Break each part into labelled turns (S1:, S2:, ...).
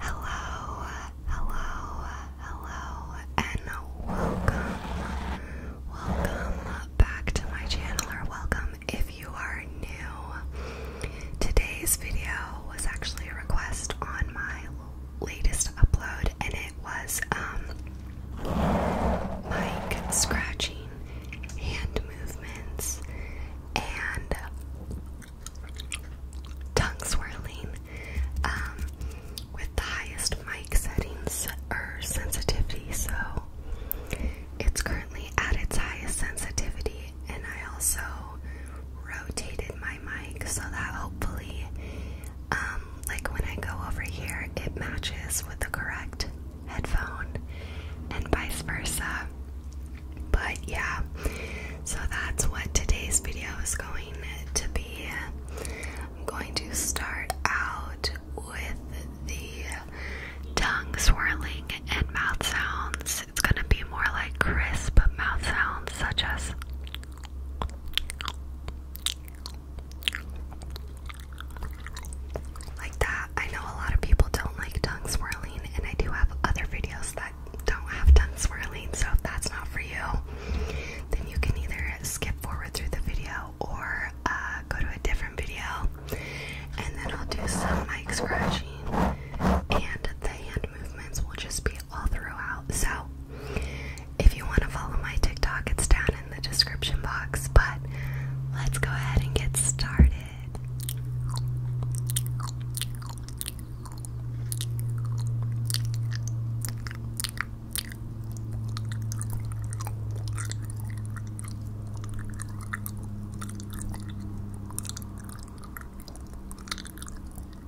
S1: Hello, hello, hello, and welcome, welcome back to my channel, or welcome if you are new. Today's video was actually a request on my latest upload, and it it was um, scratching, hand movements, and tongue swirling um, with the highest mic settings or sensitivity. So it's currently at its highest sensitivity, and I also rotated my mic so that hopefully um, like when I go over here, it matches with the correct headphone and vice versa. But yeah, so that's what today's video is going to be. I'm going to start out with the tongue swirling and mouth sounds. It's going to be more like crisp mouth sounds, such as like that. I know a lot of people don't like tongue swirling, and I do have other videos that don't have tongue swirling, so if that's not for you, then you can either skip forward through the video or uh, go to a different video, and then I'll do some mic scratching, and the hand movements will just be all throughout. So, if you want to follow my TikTok, it's down in the description box. But let's go ahead and get started.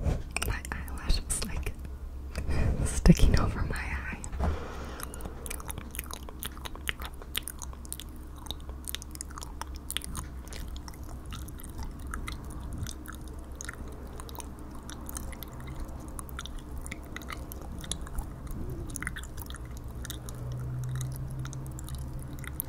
S1: My eyelash is like sticking over my eye.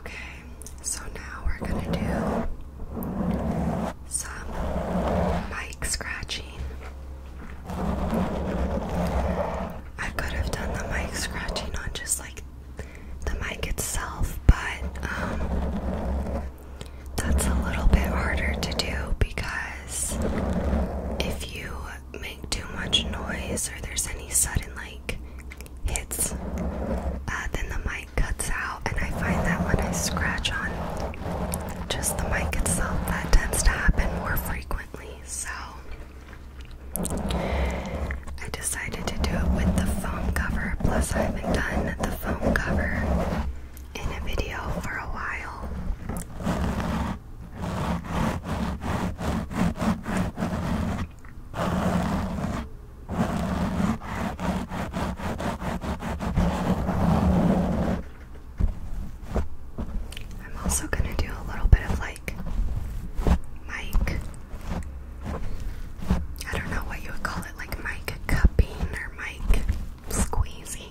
S1: Okay, so now we're gonna do some mic scratching. I could have done the mic scratching on just like the mic itself, but um, that's a little bit harder to do because if you make too much noise or there's any sudden like hits, uh, then the mic cuts out, and I find that when I scratch on just the mic itself, that tends to happen more frequently. So I decided to do it with the foam cover. Plus, I haven't done the foam cover in a video for a while. I'm also going to do a little bit of like mic. I don't know what you would call it, like mic cupping or mic squeezing.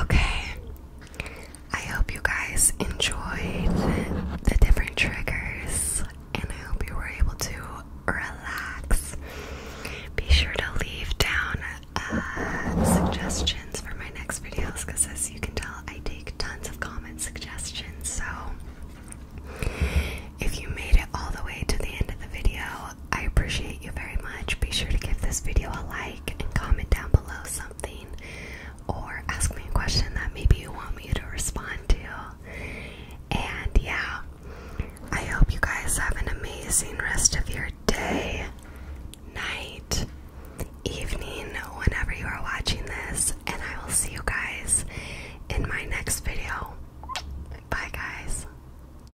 S1: Okay. I hope you guys enjoyed the different triggers and I hope you were able to relax. Be sure to leave down uh, suggestions for my next videos because, as you can tell, I take tons of comment suggestions. So, if you made it all the way to the end of the video, I appreciate you very much. Be sure to give this video a like and comment down below something or ask me a question that maybe you want me to respond to. And yeah, I hope you guys have an amazing rest of your day, night, evening, whenever you are watching this. And I will see you guys in my next video. Bye, guys.